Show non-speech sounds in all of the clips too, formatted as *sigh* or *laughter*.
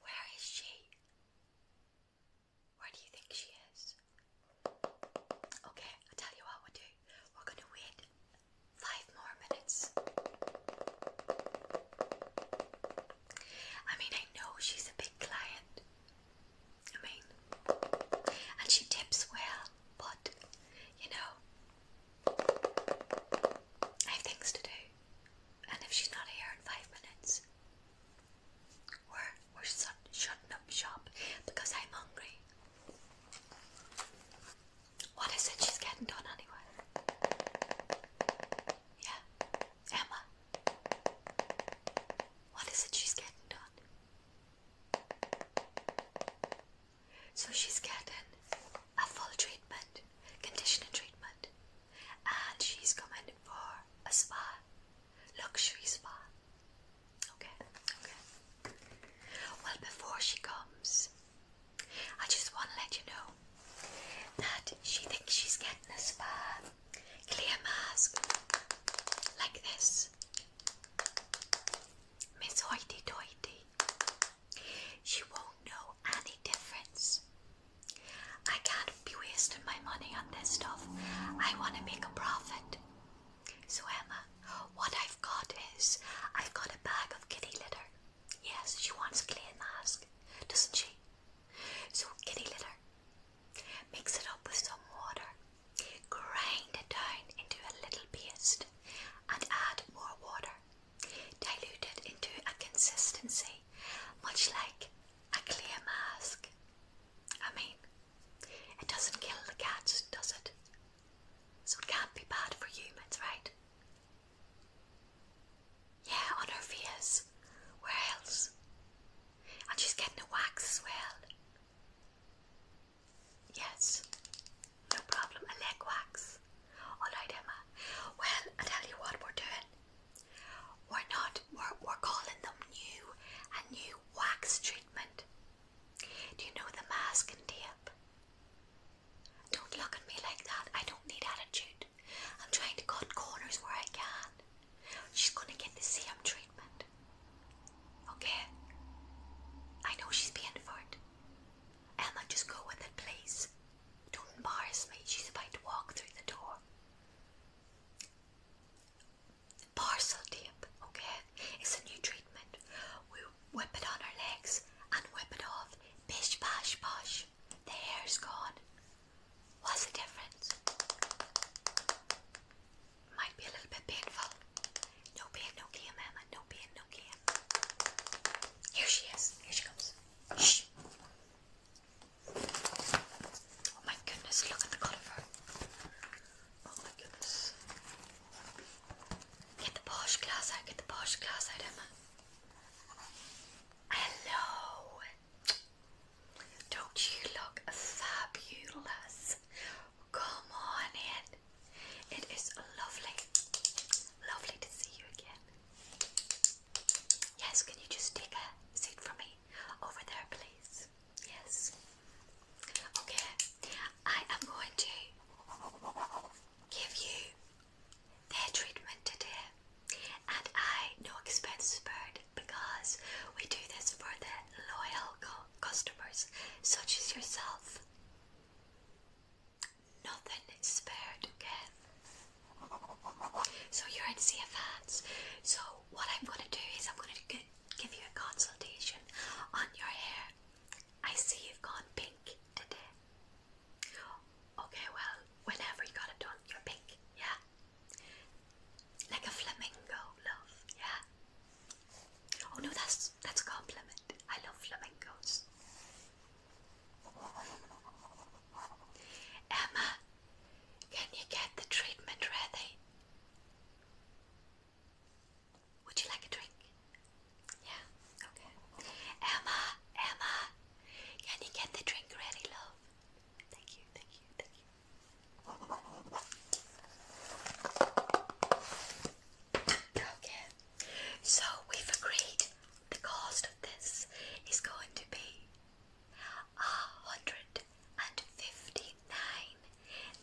Where is she? Where do you think she is? Okay, I'll tell you what we'll do. We're going to wait five more minutes. I mean, I know she's a big client, I mean, and she tips well, but you know, I have things to do, and if she's not here in five minutes, we're we're shutting up shop because I'm hungry. What is it she's getting done anyway? Yeah, Emma. What is it she's getting done? So she's getting a full treatment, conditioning treatment, and she's coming for a spa, luxury spa. Okay, okay. Well, before she comes, I just want to let you know that she thinks she's getting a spa clear mask like this. Miss Hoity Toity. She won't know any difference. I can't be wasting my money on this stuff. I want to make a profit. So, Emma, what I've got is I've got a bag of kitty litter. Yes, she wants a clay mask, doesn't she? So, kitty litter. Mix it up with some water, grind it down into a little paste, and add more water. Dilute it into a consistency much like a clear mask. I mean, it doesn't kill the cats, does it? So it can't be bad for humans, right? Yeah, on her fears. Where else? And she's getting the wax as well. Yes, no problem. A leg wax. Alright, Emma. Well, I tell you what we're doing. We're not, we're, we're calling them new, a new wax treatment. Do you know the mask and tape? Don't look at me like that. I don't need attitude. I'm trying to cut corners where I can. She's gonna get the serum treatment. Okay? I know she's paying for it. Emma, just go with it, please. Don't embarrass me. She's about to walk through the door. Parcel okay? It's a new treatment. We whip it on her legs and whip it off. Bish, bash, bosh. The hair's gone. What's the difference? Might be a little bit painful. No pain, no gain, Emma. No pain, no gain. Here she is. Here she comes. Shh. Oh my goodness, look at the colour of her. Oh my goodness. Get the posh glass out, get the posh glass out, Emma. Hello. Don't you look fabulous? Come on in. It is lovely, lovely to see you again. Yes, can you just take a seat for me over there, please? Yes. Okay, I am going to give you their treatment today, and I no expense spared because we do this for the loyal customers such as yourself. Nothing spared, okay? So you're in CFANs. So what I'm going to do is I'm going to give you a consultation on your hair. I see you've gone pink today. Okay, well, whenever you got it done, you're pink, yeah? Like a flamingo, love, yeah. Oh no, that's that's compliment. I love flamingos. Emma, can you get the treatment ready? Would you like a drink? Yeah, okay. Emma, Emma, can you get the drink ready, love? Thank you, thank you, thank you so we've agreed the cost of this is going to be hundred and fifty nine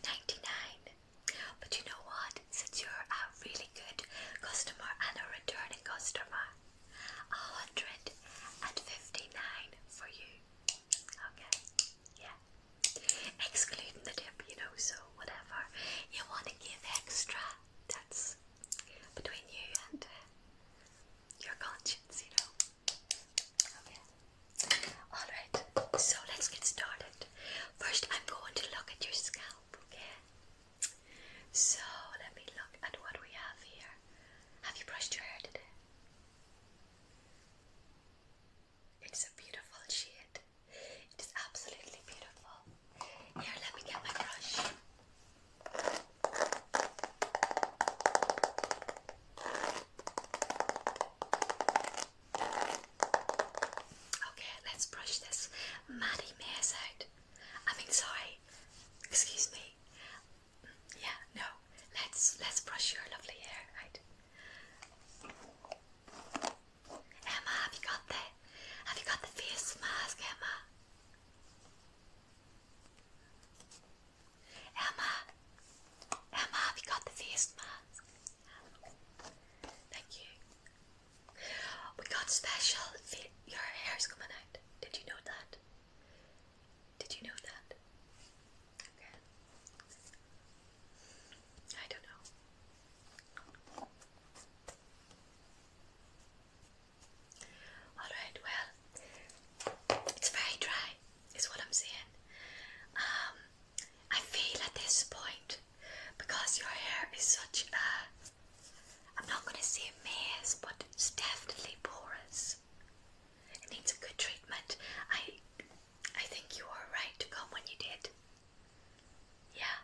ninety nine. But you know what? Since you're a really good customer and a returning customer, a hundred and fifty nine for you. Okay yeah, excluding the dip, you know, so whatever you want to give extra, that's between you and uh, your conscience, you know. Okay. Alright, so let's get started. First, I'm going to look at your scalp, okay? So, let me look at what we have here. Have you brushed your hair today? It's a beautiful sheet. It is absolutely beautiful. Here, let me get my brush. Okay, let's brush this Maddie Mays out. I mean, sorry. Excuse me. Yeah, no. Let's let's brush your lovely hair out. Emma, have you got the have you got the face mask, Emma? Emma, Emma, have you got the face mask? Thank you. We got special. Your hair is coming out. Did you know that? Did you know that? I don't know. Alright, well, it's very dry, is what I'm saying. Um, I feel at this point, because your hair is such a, I'm not going to say maze, but it's definitely porous. It needs a good treatment. I I think you were right to come when you did. Yeah.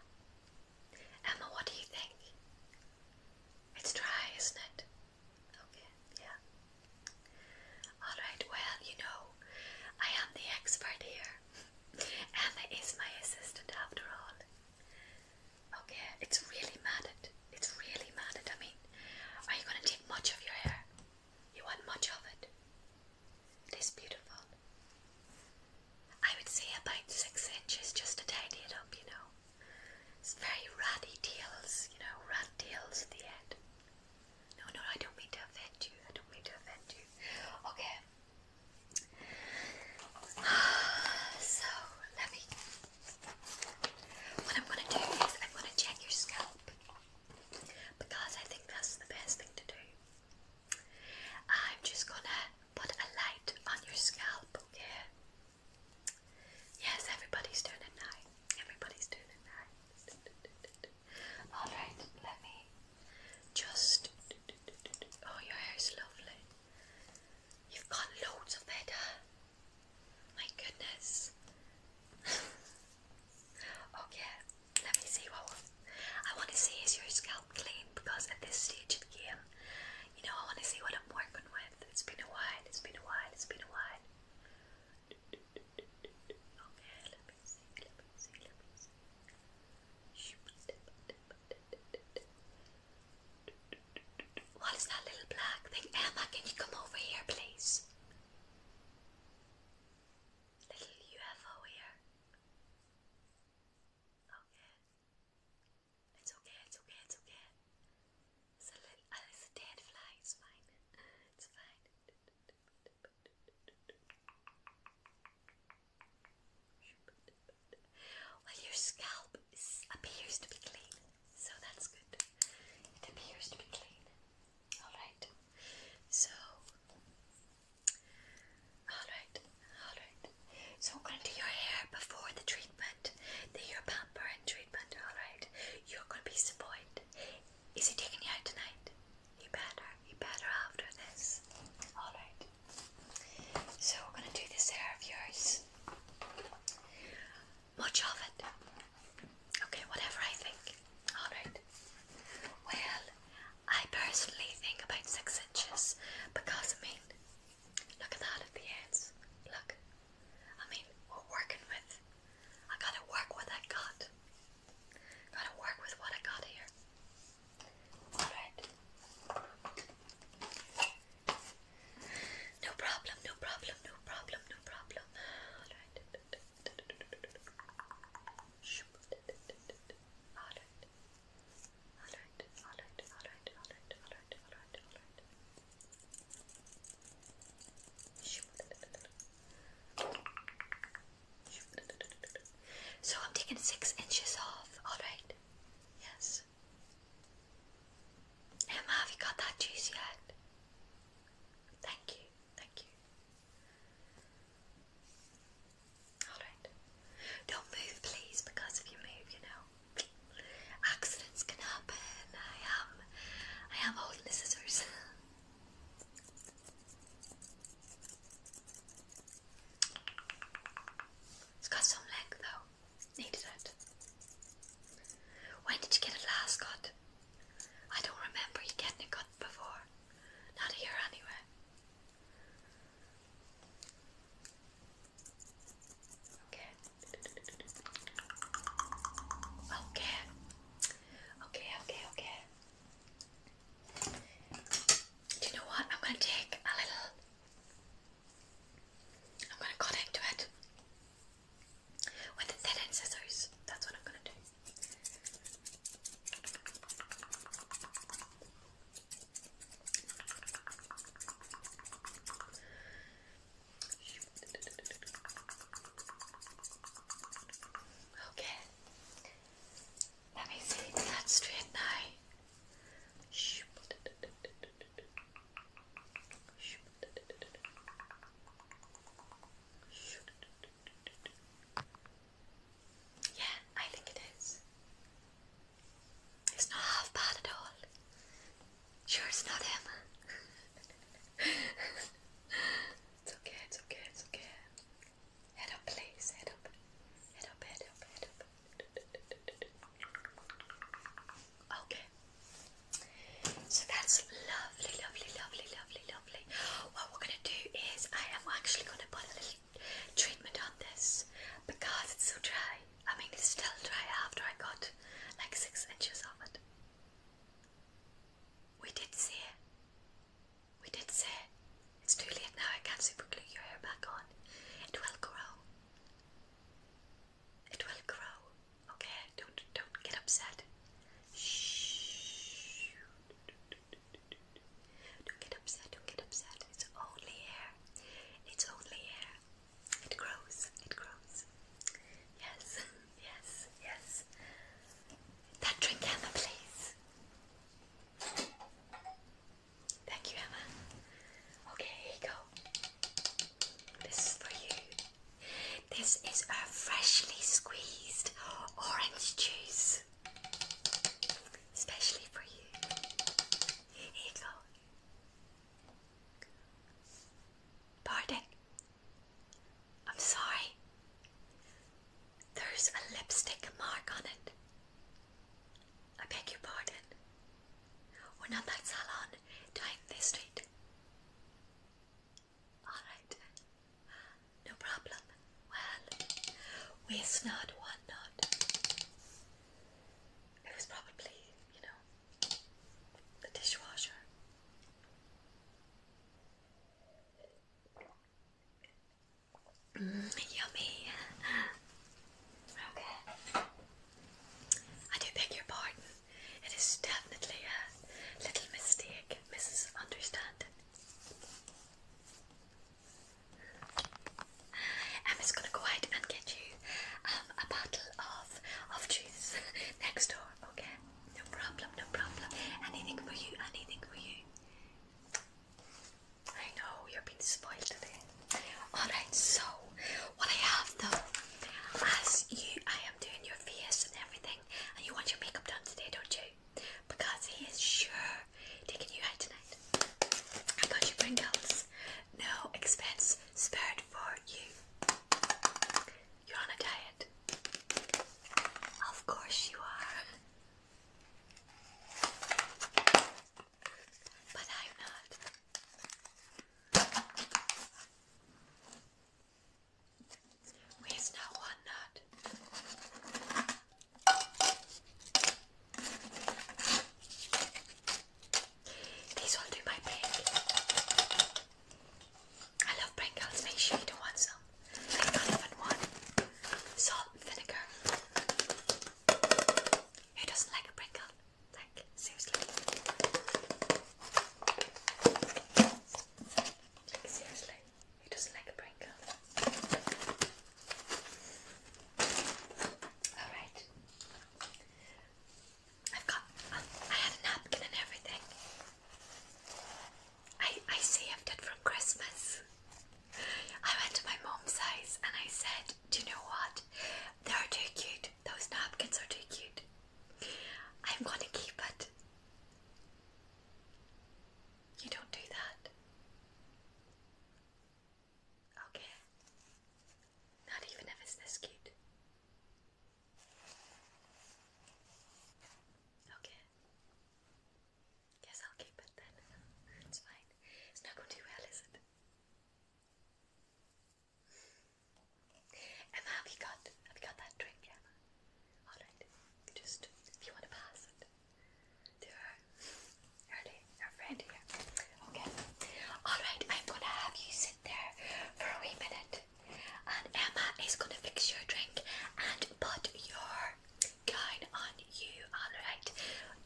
Emma, what do you think? It's dry, isn't it? Okay, yeah. Alright, well, you know, I am the expert here. Emma is my assistant after all. Okay, it's really matted. It's really matted. I mean, are you going to take much of your hair? You want much of it. It is beautiful. I would say about six inches just to tidy it up, you know. It's very ratty tails, you know, rat tails at the end. No, no, I don't mean to offend you. I don't mean to offend you. Okay. *sighs* So, let me. What I'm going to do is I'm going to check your scalp because I think that's the best thing to do. I'm just gonna put a light on your scalp, okay? Yes, everybody's doing it now. Everybody's doing it now. Alright, let me just. Oh, your hair's lovely. You've got loads of it, My goodness. *laughs* Okay, oh, let me see what I want to see is your scalp clean because at this stage of the game, you know, I want to see what I'm working with. It's been a while, it's been a while, it's been a while. Okay, let me see, let me see, let me see. What is that little black thing? Emma, can you come over here, please? Little UFO here. Okay. It's okay, it's okay, it's okay. It's a little, uh, it's a dead fly, it's fine. It's fine. Well, your scalp appears to be clean, so that's good. It appears to be clean. Alright. So Alright, alright. So I'm gonna do your hair before the treatment. The your pamper and treatment, alright. You're gonna be spoiled. Is he taking you out tonight? You better, you better after this. Alright. So we're gonna do this hair of yours much of it. Okay, whatever I think. Alright. Well, I personally think about six inches because I mean, look at that at the ends. Look. I mean, we're working with. I gotta work with what I got. Gotta work with what I got here. Alright. No problem, no problem, no problem, no problem. Alright. So I'm taking six inches off, alright? Yes. Emma, have you got that juice yet? Thank you. Thank you. Alright. Don't move, please, because if you move, you know, accidents can happen. I am, I am holding the scissors. *laughs* It's got some length though. Needed it. When did you get a last, Scott? I don't remember you getting a cut before. Not here, anyway. Okay. Okay. Okay, okay, okay. Do you know what? I'm going to take a little. I'm going to cut into it. With the thin scissors, that's what I'm gonna do. Okay. Let me see that straight now. Yeah, I think it is. It's not half bad at all. Sure, it's not him. it's okay, it's okay, it's okay. Head up, please. Head up. Head up, head up, head up. Okay. So that's lovely, lovely, lovely, lovely, lovely. What we're going to do is I am actually going to put a little treatment on this because it's so dry. I mean, it's still dry after I got like six inches of it. We did see it. We did see it. It's too late now. I can't super glue your hair back on. It will grow. It will grow. Okay, don't don't get upset. Shh. Don't get upset. Don't get upset. It's only hair. It's only hair. It grows. It grows. Yes. *laughs* Yes. Yes. That drink, Emma, please. Thank you, Emma. Okay, here you go. This is for you. This is a freshly squeezed orange juice, especially for you. Here you go. Pardon? I'm sorry. There's a lipstick mark on it. I beg your pardon. We're not that salon down this street. Alright, no problem. Well, waste not, one not. It was probably, you know, the dishwasher. Mm, yummy. Okay. I do beg your pardon. It is definitely a little mistake, Mrs. Understanding. Emma's gonna go out and get you um, a bottle of of juice *laughs* next door. Okay, no problem, no problem. Anything for you, anything for you. I know you're being spoiled today. All right, so what I have though, as you, I doing your face and everything, and you want your makeup done today, don't you? Because he is sure taking you out tonight. I got you Pringles. No expense spared for you. You're on a diet. Of course you are. But I'm not. Where's now one nut? These will do my break. I love Pringles. Make sure you don't want some. I don't salt vinegar. Who doesn't like a Like, seriously seriously, he doesn't like a Pringle. Alright. I've got I have a napkin and everything. I I saved it from Christmas. I went to my mom's house and I said, Do you know what? They are too cute. Those napkins are too cute. I'm gonna keep it. You don't do that. Okay. Not even if this cute. Okay. Guess I'll keep it then. It's fine. It's not going too well, is it? Emma, have you got have you got that drink, Emma? Alright. Just if you want to pass it to her. Early, friend here. Okay. Alright, I'm gonna have you sit there for a wee minute. And Emma is gonna fix your drink and put your gown on you, alright?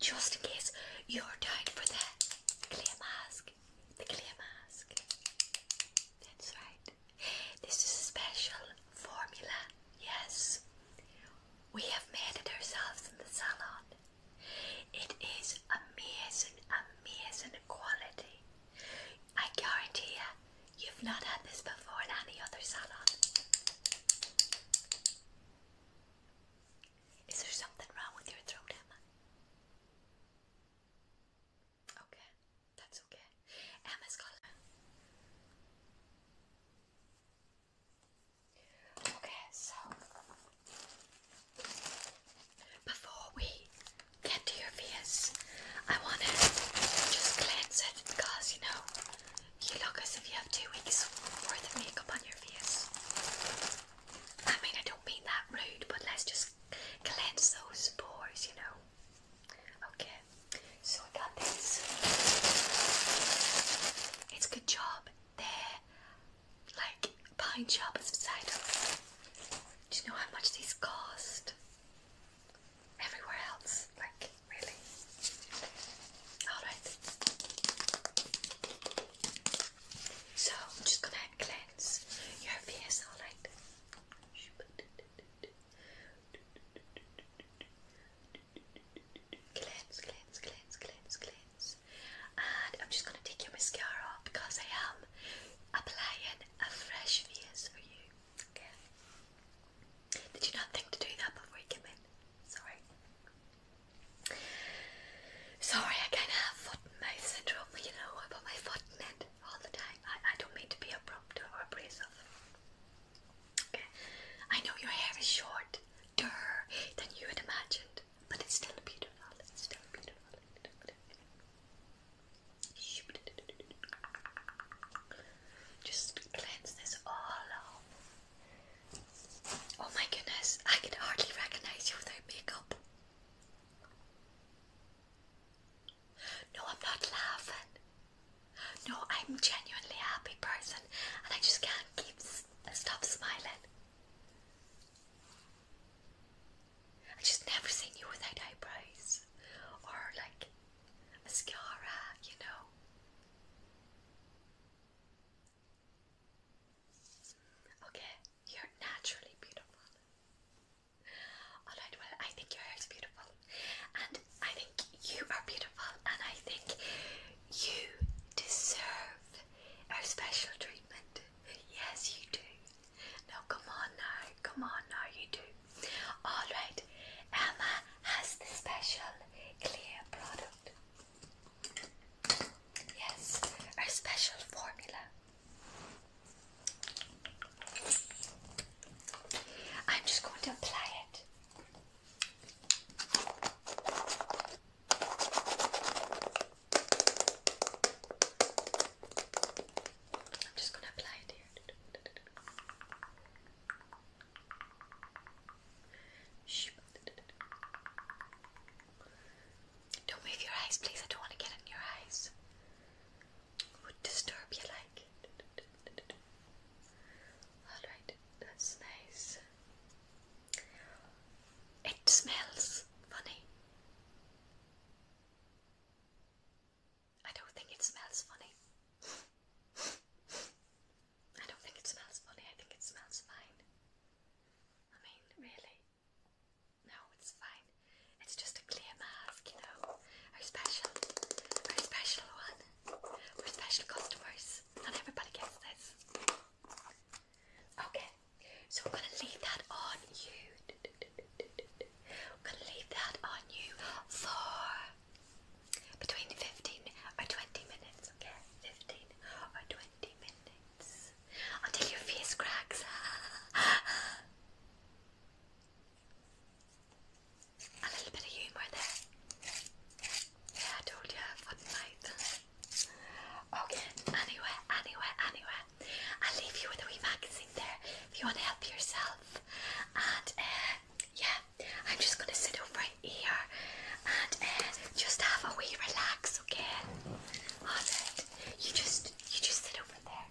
Just in case you're down for the clay mask. The clay mask. That's right. This is a special formula, yes. We have made it ourselves in the salon. It is a amazing, amazing quality. I guarantee you, you've not had this before in any other salon. Is there something wrong with your throat, Emma? Okay, that's okay. Emma's color. Okay, so before we get to your face, I want to just cleanse it because you know you look as if you have two weeks worth of makeup on your face. I mean, I don't mean that rude, but let's just cleanse those pores, you know. Okay, so I got this. It's a good job. They're like pine sharpers beside us. Do you know how much these cost? Everywhere else, like really. Alright. So I'm just gonna cleanse your face, alright? Cleanse, cleanse, cleanse, cleanse, cleanse. And I'm just going to take your mascara off because I am applying a fresh face for you. Did you not think to do that before you came in? Sorry. Sorry, I kind of have foot mouth syndrome, you know, I put my foot in it all the time. I, I don't mean to be abrupt or abrasive. Okay. I know your hair is short, durr, than you had imagined, but it's still beautiful. It's still beautiful. Just cleanse this all off. Oh my goodness, I can hardly recognize you without makeup. No, I'm not laughing. No, I'm genuinely a happy person and I just can't keep stop smiling. I just never seen you without eyebrows or like mascara, you know. Okay, you're naturally beautiful. Alright, well, I think your hair is beautiful, and I think you are beautiful, and I think you deserve a special treatment. Yes, you do. Now, come on now, come on now, you do. Alright, Emma has the special clear product. Yes, our special formula. I'm just going to apply it. I'm just going to apply it here. Don't move your eyes, please. I don't want to get in your eyes would disturb you like. Alright, that's nice. It smells funny. I don't think it smells funny. I don't think it smells funny, I think it smells fine. I mean, really? No, it's fine. It's just a clear mask, you know. Our special, very special one. We're special customers. Not everybody gets this. Okay, so we're gonna leave that on you. We're gonna leave that on you for between 15 or 20 minutes, okay? 15 or 20 minutes until your face cracks. *laughs* A little bit of humour there. Yeah, I told you for tonight. okay, anyway, anyway, anyway. I'll leave you with a wee magazine there if you want to help yourself. And uh, yeah, I'm just going to sit over here and uh, just have a wee relax, okay? Alright, you just, you just sit over there.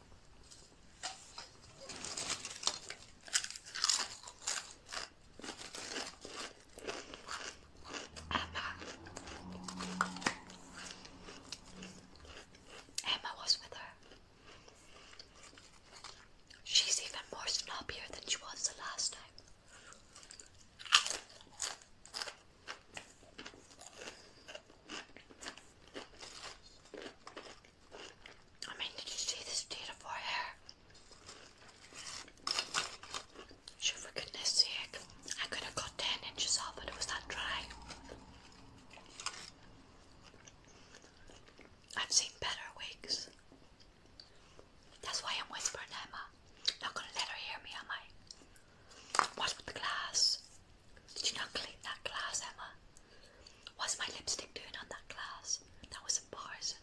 Emma. Emma was with her. She's even more snobbier than she was the last time. I mean, did you see this beautiful hair? Sure, for goodness sake, I could have got 10 inches off, but it was that dry. I've seen better wigs. That's why I'm whispering, Emma. Not gonna let her hear me, am I? What's with the glass? Did you not clean that glass, Emma? What's my lipstick doing on that glass? That was embarrassing.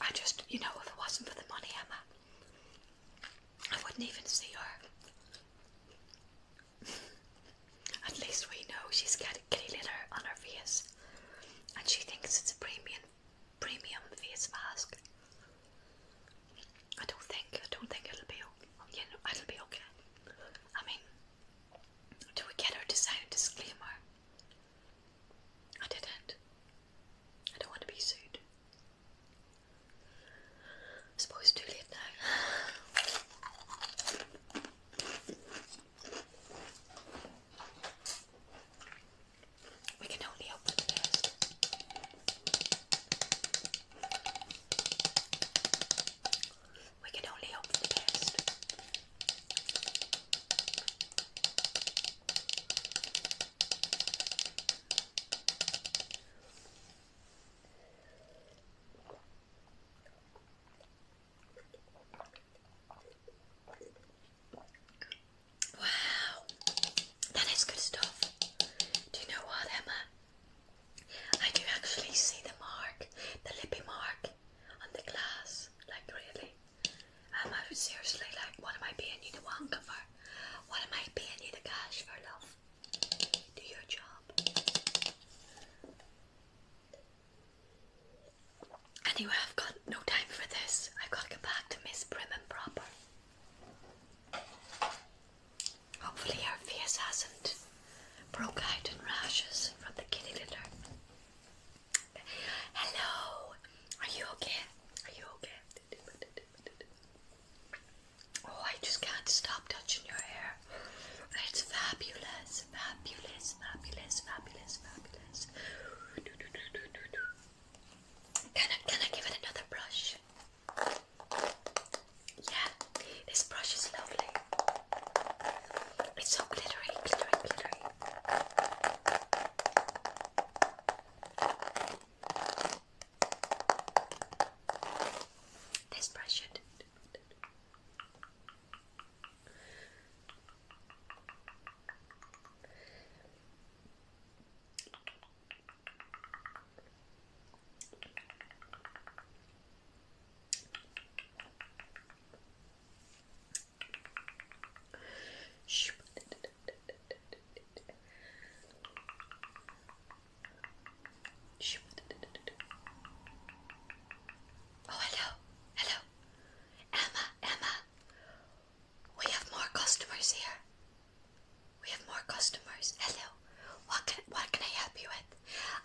I just, you know, if it wasn't for the money, Emma, I wouldn't even see her. *laughs* At least we know she's got kitty litter on her face and she thinks it's a premium premium face mask. I don't think I don't think it'll be you know it'll be okay. I mean, do we get our to disclaimer? I didn't. I don't want to be sued. I suppose too late now. We can only hope for the best. We can only hope for the best. Wow, that is good stuff. Do you know what, Emma? I do actually see the mark, the lippy mark on the glass. Like, really? Am um, I seriously like, what am I paying you to wanker for? What am I paying you to cash for, love? Do your job. Anyway, I've got no time for this. I've got to get back to Miss Prim and Proper. Hopefully, our face hasn't broke out in rashes from the kitty litter. Hello, are you okay? Are you okay? Oh, I just can't stop touching your hair. It's fabulous, fabulous, fabulous, fabulous, fabulous. Can I, can I give it another brush? Yeah, this brush is lovely. It's so glittery, glittery, glittery. This brush should. Oh, hello, hello, Emma, Emma. We have more customers here. We have more customers. Hello. What can what can I help you with?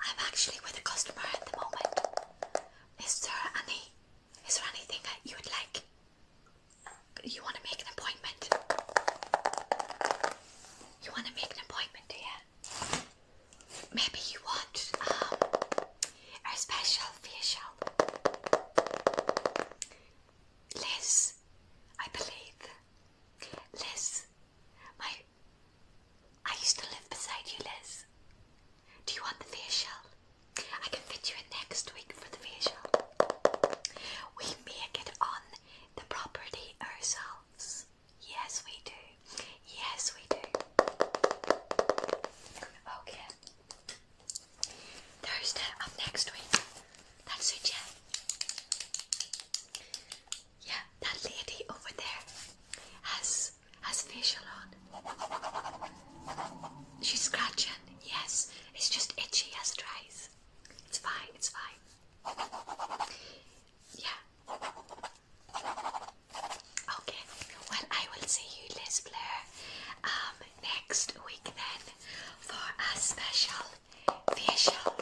I'm actually with a customer at the moment. Is there any is there anything that you would like? You wanna make an appointment? You wanna make an appointment, here? Maybe you want um our special facial. Liz, I believe. Liz, my. I used to live beside you, Liz. Do you want the facial? I can fit you in next week for the facial. We make it on the property ourselves. Yes, we do. Yes, we do. Okay. Thursday of next week. That's suit you? Yeah, that lady over there has has facial on. She's scratching. Yes, it's just itchy as it dries. It's fine. It's fine. Yeah. Okay. Well, I will see you, Liz Blair. Um, next week then for a special facial.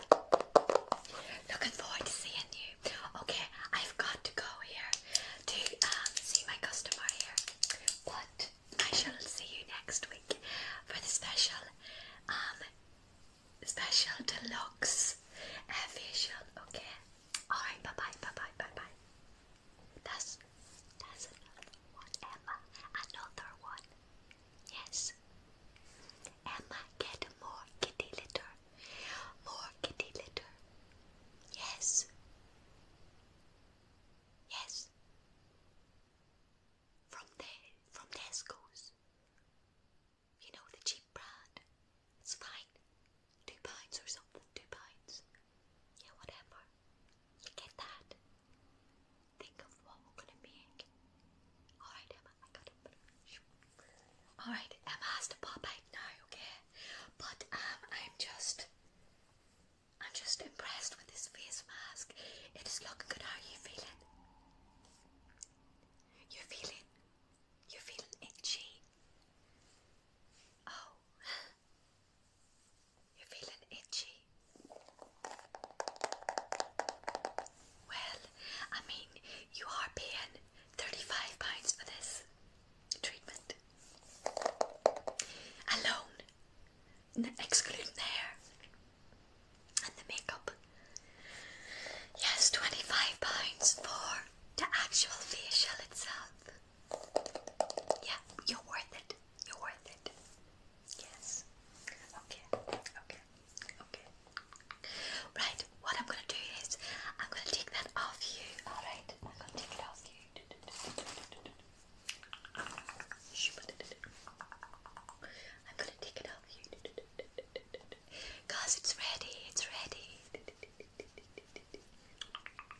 Looking forward to seeing you. Okay, I've got to go here to um, see my customer here, but I shall see you next week for the special, um, special deluxe uh, Okay. All right. Bye bye. Bye bye. Bye bye. That's that's another one, Emma. Another one. Yes. Emma, get more kitty litter. More kitty litter. Yes. Yes. From the from Tesco's. You know the cheap brand. It's fine. Two pounds or something. Two pounds. Yeah, whatever get that? Think of what we're gonna make. Alright, Emma, I got it. Alright, Emma has to pop okay? But um I'm just I'm just impressed with this face mask. It is looking good. How are you feeling? You're feeling you're feeling itchy. Oh you're feeling itchy. Well, I mean, you are paying £35 for this treatment. Alone, excluding the hair and the makeup. Yes, £25 for the actual facial itself. Yeah, you're worth it. You're worth it. Yes. Okay. Okay. Okay. Right. What I'm gonna do is I'm gonna take that off you. All right. I'm gonna take it off you. I'm gonna take it off you. Cause it's ready. It's ready.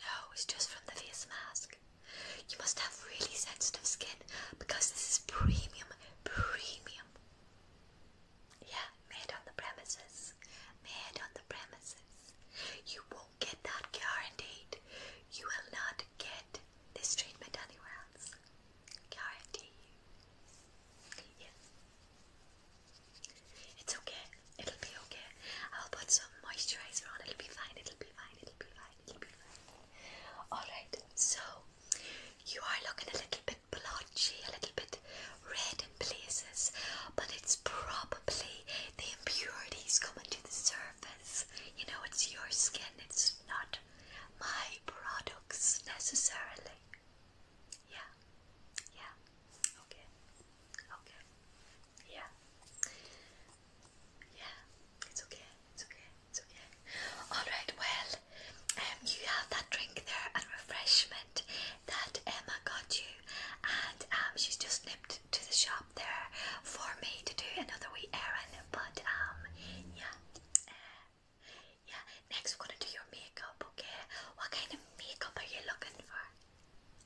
No, it's just from the face mask. You must have really sensitive skin because this is premium, premium. Yeah, made on the premises. Made on the premises. You won't get that guaranteed. You will not get this treatment anywhere else. Guarantee Yes. It's okay. It'll be okay. I'll put some moisturizer on. It'll be fine. It'll be fine. Alright, so you are looking a little bit blotchy, a little bit red in places, but it's probably the impurities coming to the surface. You know, it's your skin, it's not my products necessarily. Yeah, yeah, okay, okay, yeah. Yeah, it's okay, it's okay, it's okay. Alright, well, um, you have that drink there and refreshment that Emma got you, and um, she's just nipped to the shop there for me to do another wee errand, but um, yeah. Uh, yeah, next we're gonna do your makeup, okay? What kind of makeup are you looking for?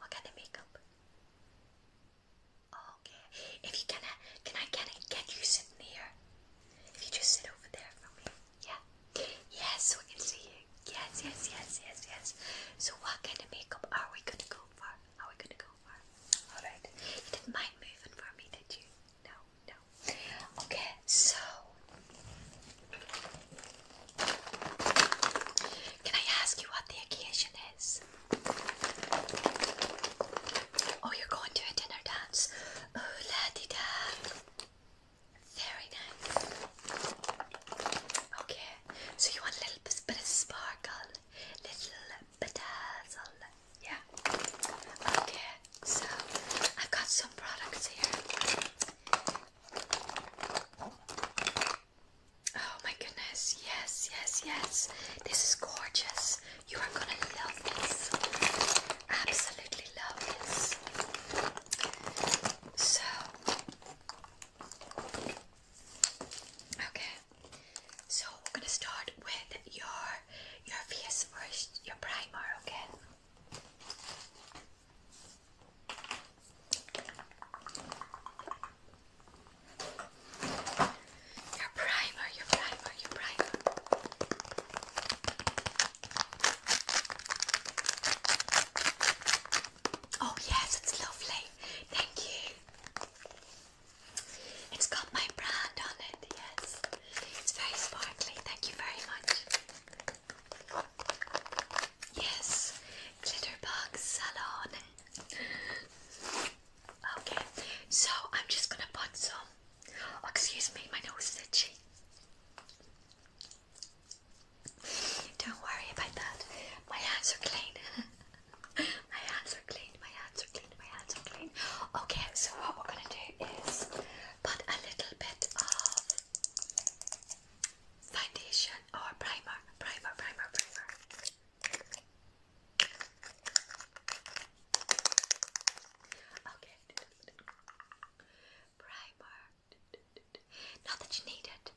What kind of makeup? Okay. If you can, uh, can I can I get you sitting here? If you just sit over there for me, yeah. Yes, so I can see you. Yes, yes, yes, yes, yes. So what kind of makeup are we gonna go for? Are we gonna go for? All right. You didn't mind moving for me, did you? No, no. Okay, so can I ask you what the occasion is? Oh, you're going to a dinner dance. Oh, la di Very nice. Okay, so you want a little bit of sparkle, little bedazzle, yeah? Okay, so I've got some products here. Oh my goodness, yes, yes, yes. This is gorgeous. You are gonna love this. Absolutely love this. So, okay. So we're gonna start with your your face first, your primer, okay? Your primer, your primer, your primer. Oh, yes, it's lovely. Thank you. It's got my brand on it, yes. It's very sparkly. Thank you very much. Yes, Glitterbox Salon okay, so I'm just gonna put some. Oh, excuse me, my nose is itchy. Don't worry about that. My hands are clean. *laughs* my hands are clean. My hands are clean. My hands are clean. Okay, so what we're gonna do is put a little bit of foundation or primer, primer, primer, primer. Okay. Primer. Not that you need it.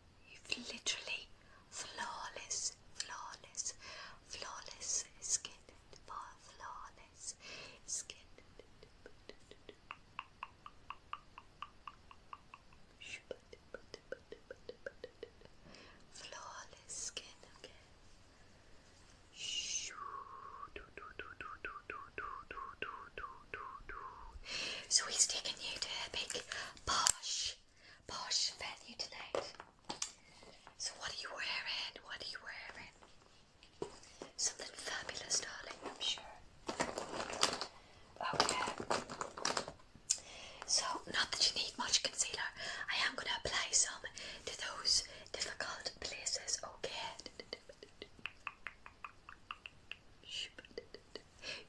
You've literally flawless, flawless, flawless skin. Flawless skin. Flawless skin, okay? So he's taking you to a big posh, posh venue tonight. So what are you wearing? What are you wearing? Something fabulous, darling, I'm sure. Okay. So, not that you need much concealer, I am going to apply some to those difficult places, okay?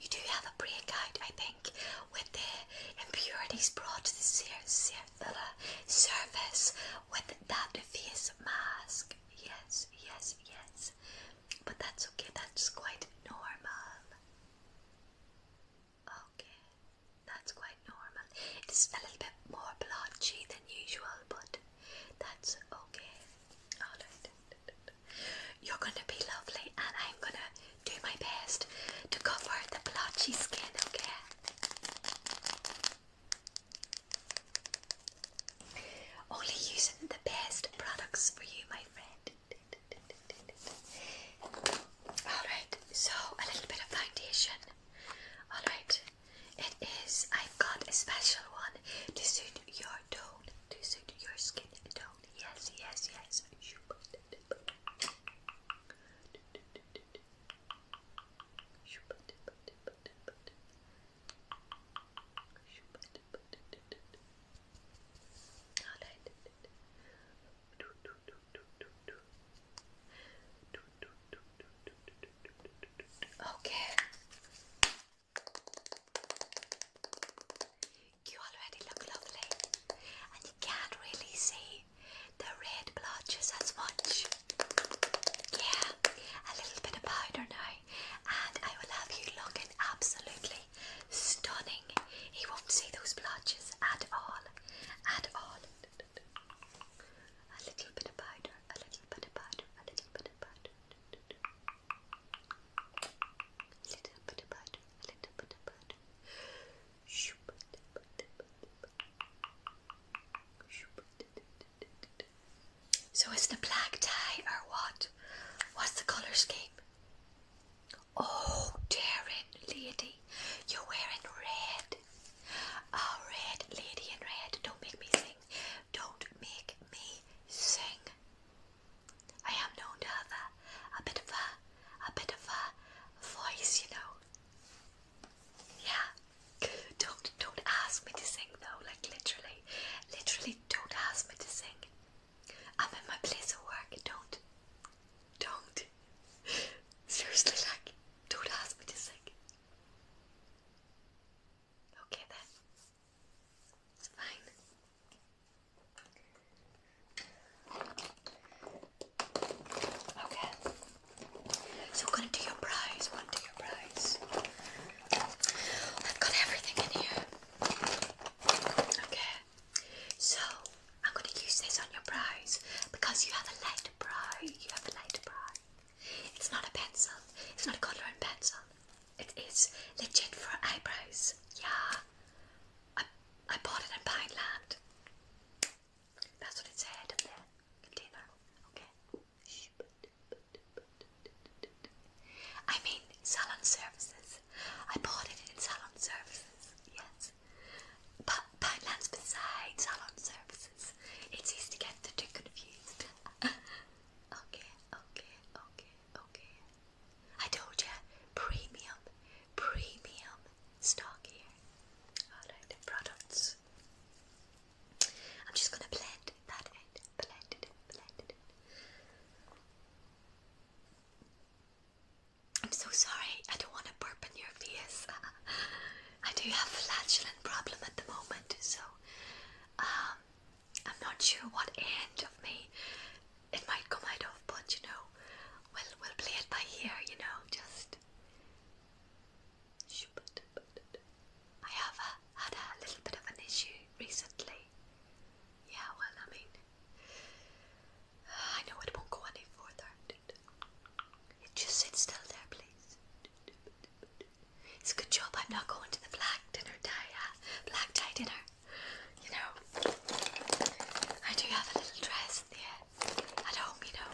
You do have a breakout, I think, with the impurities brought to the uh, surface with that face mask. Yes, yes, yes. But that's okay, that's quite normal. Okay, that's quite normal. It is a little bit more blotchy than usual, but that's okay. Alright. You're gonna be lovely, and I'm gonna do my best to cover the blotchy skin, okay? Only using the best products for you, my friend. Alright, so a little bit of foundation. Alright, it is, I've got a special one to suit your tone, to suit your skin tone. Yes, yes, yes. Alright. Okay. You already look lovely, and you can't really see the red blotches as much. Yeah, a little bit of powder now, and I will have you looking absolutely Stunning. He won't see those blotches at all. At all. A little bit of powder, a little bit of powder, a little bit of powder. A little bit of powder, a little bit of powder. So it's the black tie or what? What's the colour scheme? Oh, Darren, lady, you're wearing red. Oh, red, lady in red. Don't make me sing. Don't make me sing. I am known to have a, a bit of a, a bit of a voice, you know. Yeah. Don't, don't ask me to sing though. Like literally, literally, don't ask me to sing. I'm in my place of work. Don't, don't. *laughs* Seriously, like, don't ask me to sing. Okay then, it's fine. Okay, so gonna do your prize. One, do your prize. I've got everything in here. Okay. So I'm going to use this on your brows because you have a light brow. You have a light brow. It's not a pencil. It's not a colour and pencil. It is legit for eyebrows. Yeah. I, I bought it in Pineland. That's what it said in the container. Okay. I mean, salon services. I bought it in salon services, yes. But Poundland's beside salon services. It's easy to get the two confused. *laughs* okay, okay, okay, okay. I told you, premium, premium stock products. I'm just gonna blend that in, blend it blend it I'm so sorry. I don't want to burp in your face. *laughs* I do have a flatulent problem at the moment, so um, I'm not sure what end of me it might come out of, but you know, we'll we'll play it by ear. You know, just. I have uh, had a little bit of an issue recently. Yeah, well, I mean, I know it won't go any further. just sits still there, please. It's a good job I'm not going to the black dinner tie, black tie dinner. You know, I do have a little dress there at home, you know,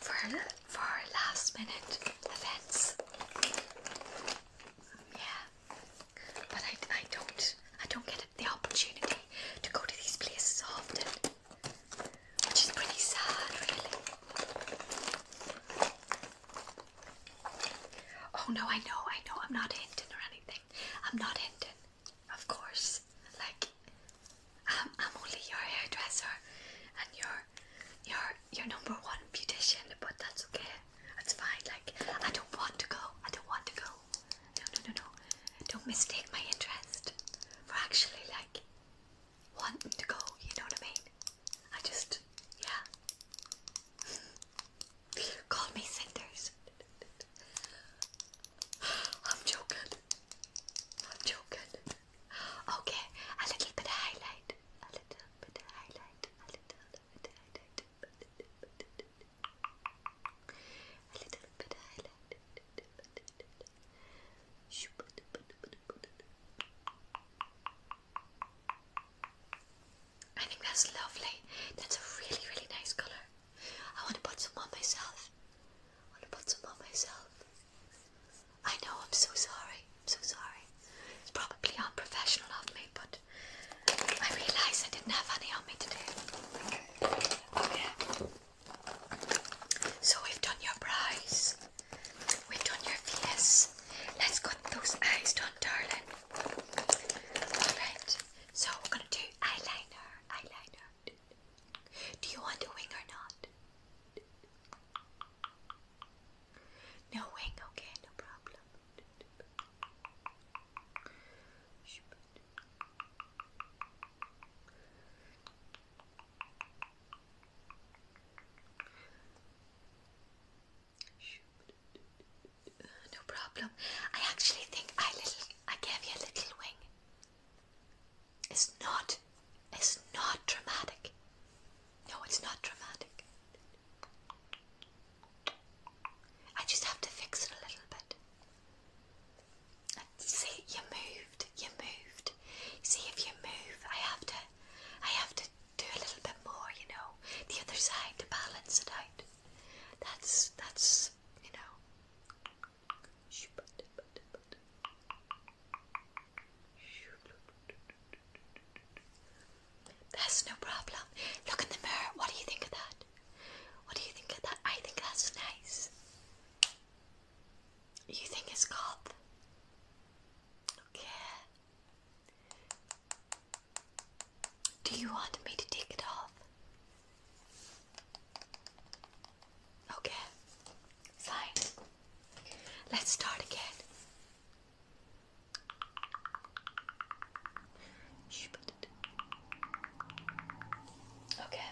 for for last minute events. Yeah, but I, I don't I don't get the opportunity to go to these places often, which is pretty sad, really. Oh no, I know, I know, I'm not hinting or anything. I'm not hinting, of course. Like, I'm, I'm only your hairdresser and your, your, your number one beautician, but that's okay. That's fine. Like, I don't want to go. I don't want to go no, no, no, no. Don't mistake my interest for actually like wanting to go, you know what I mean? I just, yeah. *laughs* Call me Cinders. *sighs* I'm joking. joking. Okay, a little bit of highlight. A little bit of highlight. A little bit of highlight. A little bit highlight. I think that's lovely. That's a really, really nice color. I want to put some on myself. I want to put some on myself. I know, I'm so sorry. I'm so sorry. It's probably unprofessional of me, but I realized I didn't have any on me today. Oh, so we've done your brows. We've done your face. Let's get those eyes done, darling. Alright. So we're gonna do eyeliner. Eyeliner. Do you want a wing or not? No wing, okay, no problem. No problem. I actually think I little I gave you a little wing. It's not it's not dramatic. No, it's not dramatic. I just have to fix it a little bit. See, you moved, you moved. See if you move, I have to, I have to do a little bit more, you know, the other side to balance it out. That's that's you know. That's no problem. Look in the mirror. What do you think of that? What do you think of that? I think that's nice. You think it's called? Okay. Do you want me to take it off? Okay, fine. Let's start again. Okay.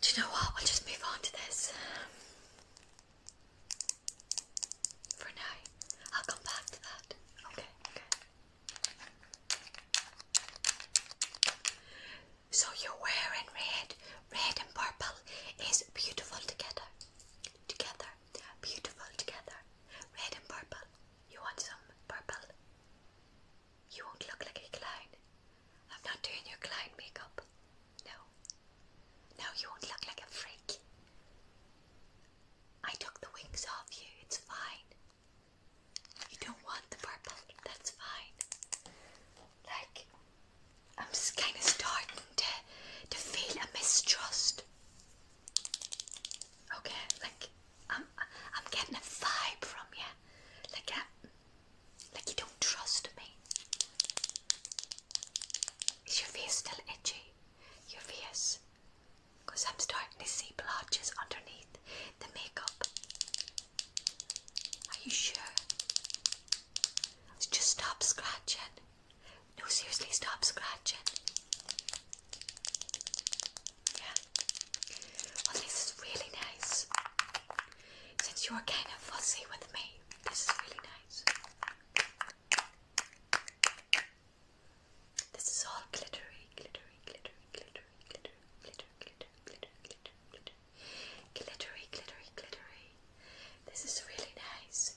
Do you know what? We'll just move on to this for now. I'll come back to that. Okay, okay. So you're wearing red. Red and purple is beautiful together. Together beautiful together, red and purple. You want some purple? You won't look like a clown. I'm not doing your clown makeup. No. No, you won't look like a freak. I took the wings off you, it's fine. You don't want the purple, that's fine. Like, I'm just kind of starting to, to feel a mistrust Okay, like I'm I'm getting a vibe from you. Like I, like you don't trust me. Is your face still itchy? Your face? Because I'm starting to see blotches underneath the makeup. Are you sure? Just stop scratching. No, seriously, stop scratching. Yeah. Well, this is really nice. Since you're kind of fussy with me, this is really nice. This is all glittery, glittery, glittery, glittery, glitter, glitter, glitter, glitter, glitter, glitter, glittery, glittery, glittery. This is really nice.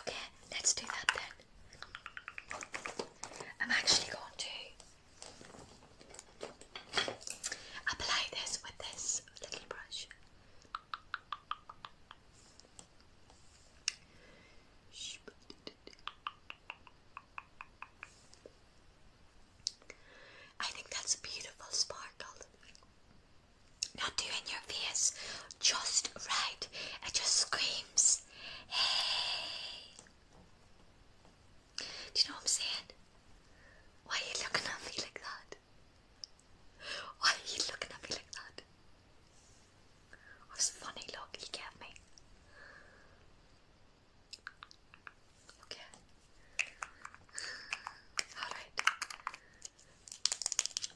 Okay, let's do that then. I'm actually going to apply this with this little brush. I think that's a beautiful sparkle not doing your face just right. It just screams, hey. Do you know what I'm saying? Why are you looking at me like that? Why are you looking at me like that? What a funny look you gave me. Okay. Alright.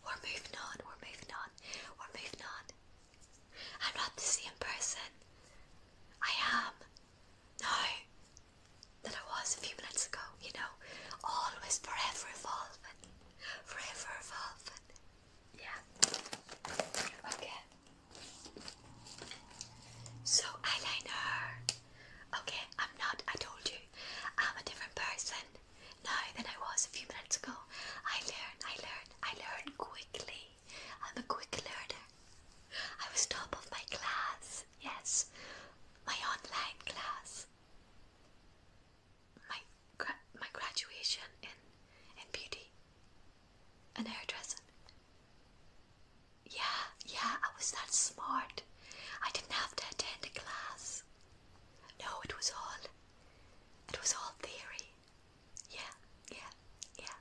We're moving on, we're moving on, we're moving on. I'm not the same person I am now that I was a few minutes ago, you know. Always forever evolving, forever evolving. Yeah. Okay. So eyeliner. Okay, I'm not. I told you, I'm a different person now than I was a few minutes ago. I learn, I learn, I learn quickly. I'm a quick learner. I was top of my class, yes, my online class. My my graduation in in beauty and hairdressing. Yeah, yeah, I was that smart. I didn't have to attend a class. No, it was all. It was all theory. Yeah, yeah, yeah.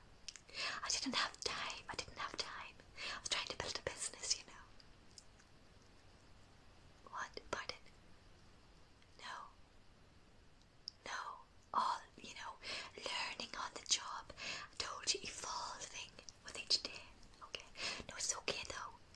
I didn't have time. I didn't have time. I was trying to build a business, you know. What? Pardon? No. No. All, you know, learning on the job. I told you, evolving with each day. Okay. No, it's okay though.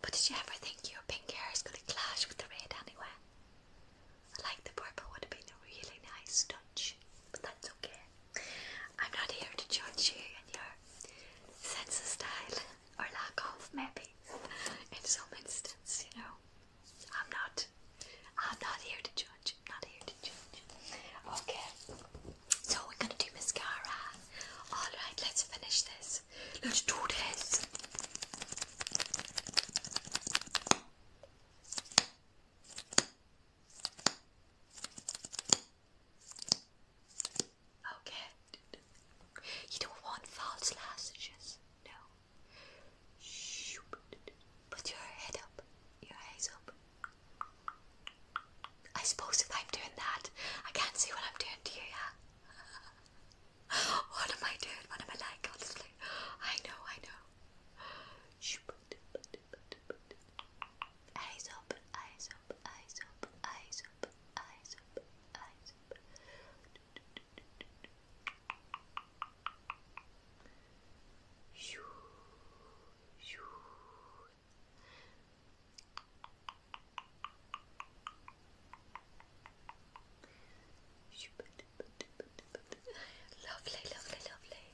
But did you ever think your pink hair is going to clash with the red anyway? I like the purple would have been a really nice touch, but that's okay. I'm not here to judge you and your sense of style, or lack of maybe, in some instances, you know. I'm not, I'm not here to judge, I'm not here to judge. Okay, so we're going to do mascara. Alright, let's finish this. Let's do this. Okay. You don't want false lashes, no. Put your head up, your eyes up. I suppose if I'm doing that, I can't see what I'm doing to you, yeah what am I doing? What am I like? Honestly, I know, I know. Eyes up, eyes up, eyes up, eyes up, eyes up, eyes up. Shoo, shoo. Lovely, lovely, lovely.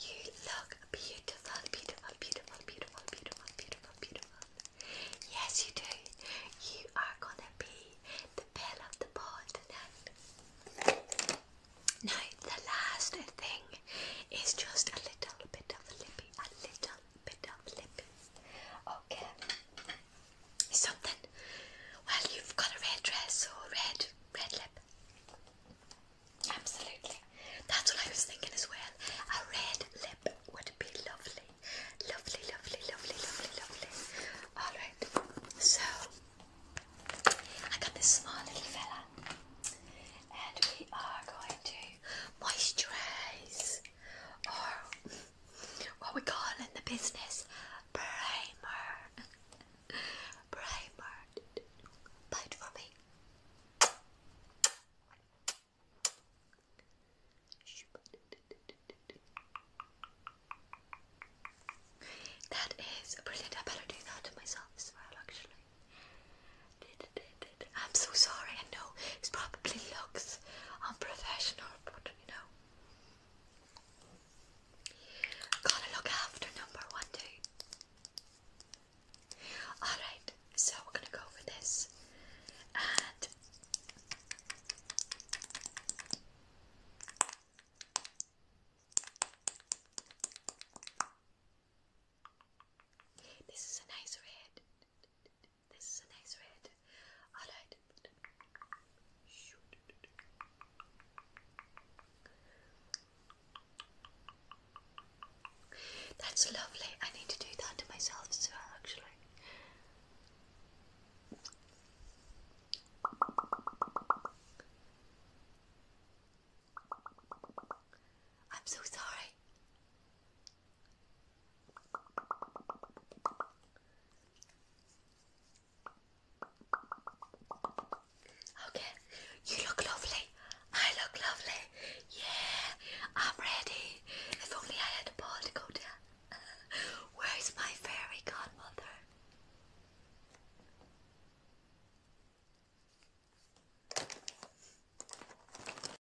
You look beautiful, beautiful, beautiful, beautiful, beautiful, beautiful, beautiful. Yes, you do. You are gonna be the belle of the ball tonight. Now, the last thing is just a little bit of lippy, a little bit of lip. Okay. Something. Well, you've got a red dress or red, red lip. Absolutely. That's what I was thinking as well. A red lip would be lovely. Lovely, lovely, lovely, lovely, lovely. Alright, so I got this small little fella, and we are going to moisturize or oh, what we call in the business primer. primer. Bite for me. That is brilliant. I better do that to myself as well, actually. I'm so sorry. I know it's probably looks unprofessional, but you know. Gotta look after number one, too. Alright, so we're gonna go for this. This is a nice red. This is a nice red. That's lovely. I need to do that to myself as well, actually. I'm so sorry. Okay, you look lovely. I look lovely. Yeah, I'm ready. If only I had a ball to go down. *laughs* Where's my fairy godmother?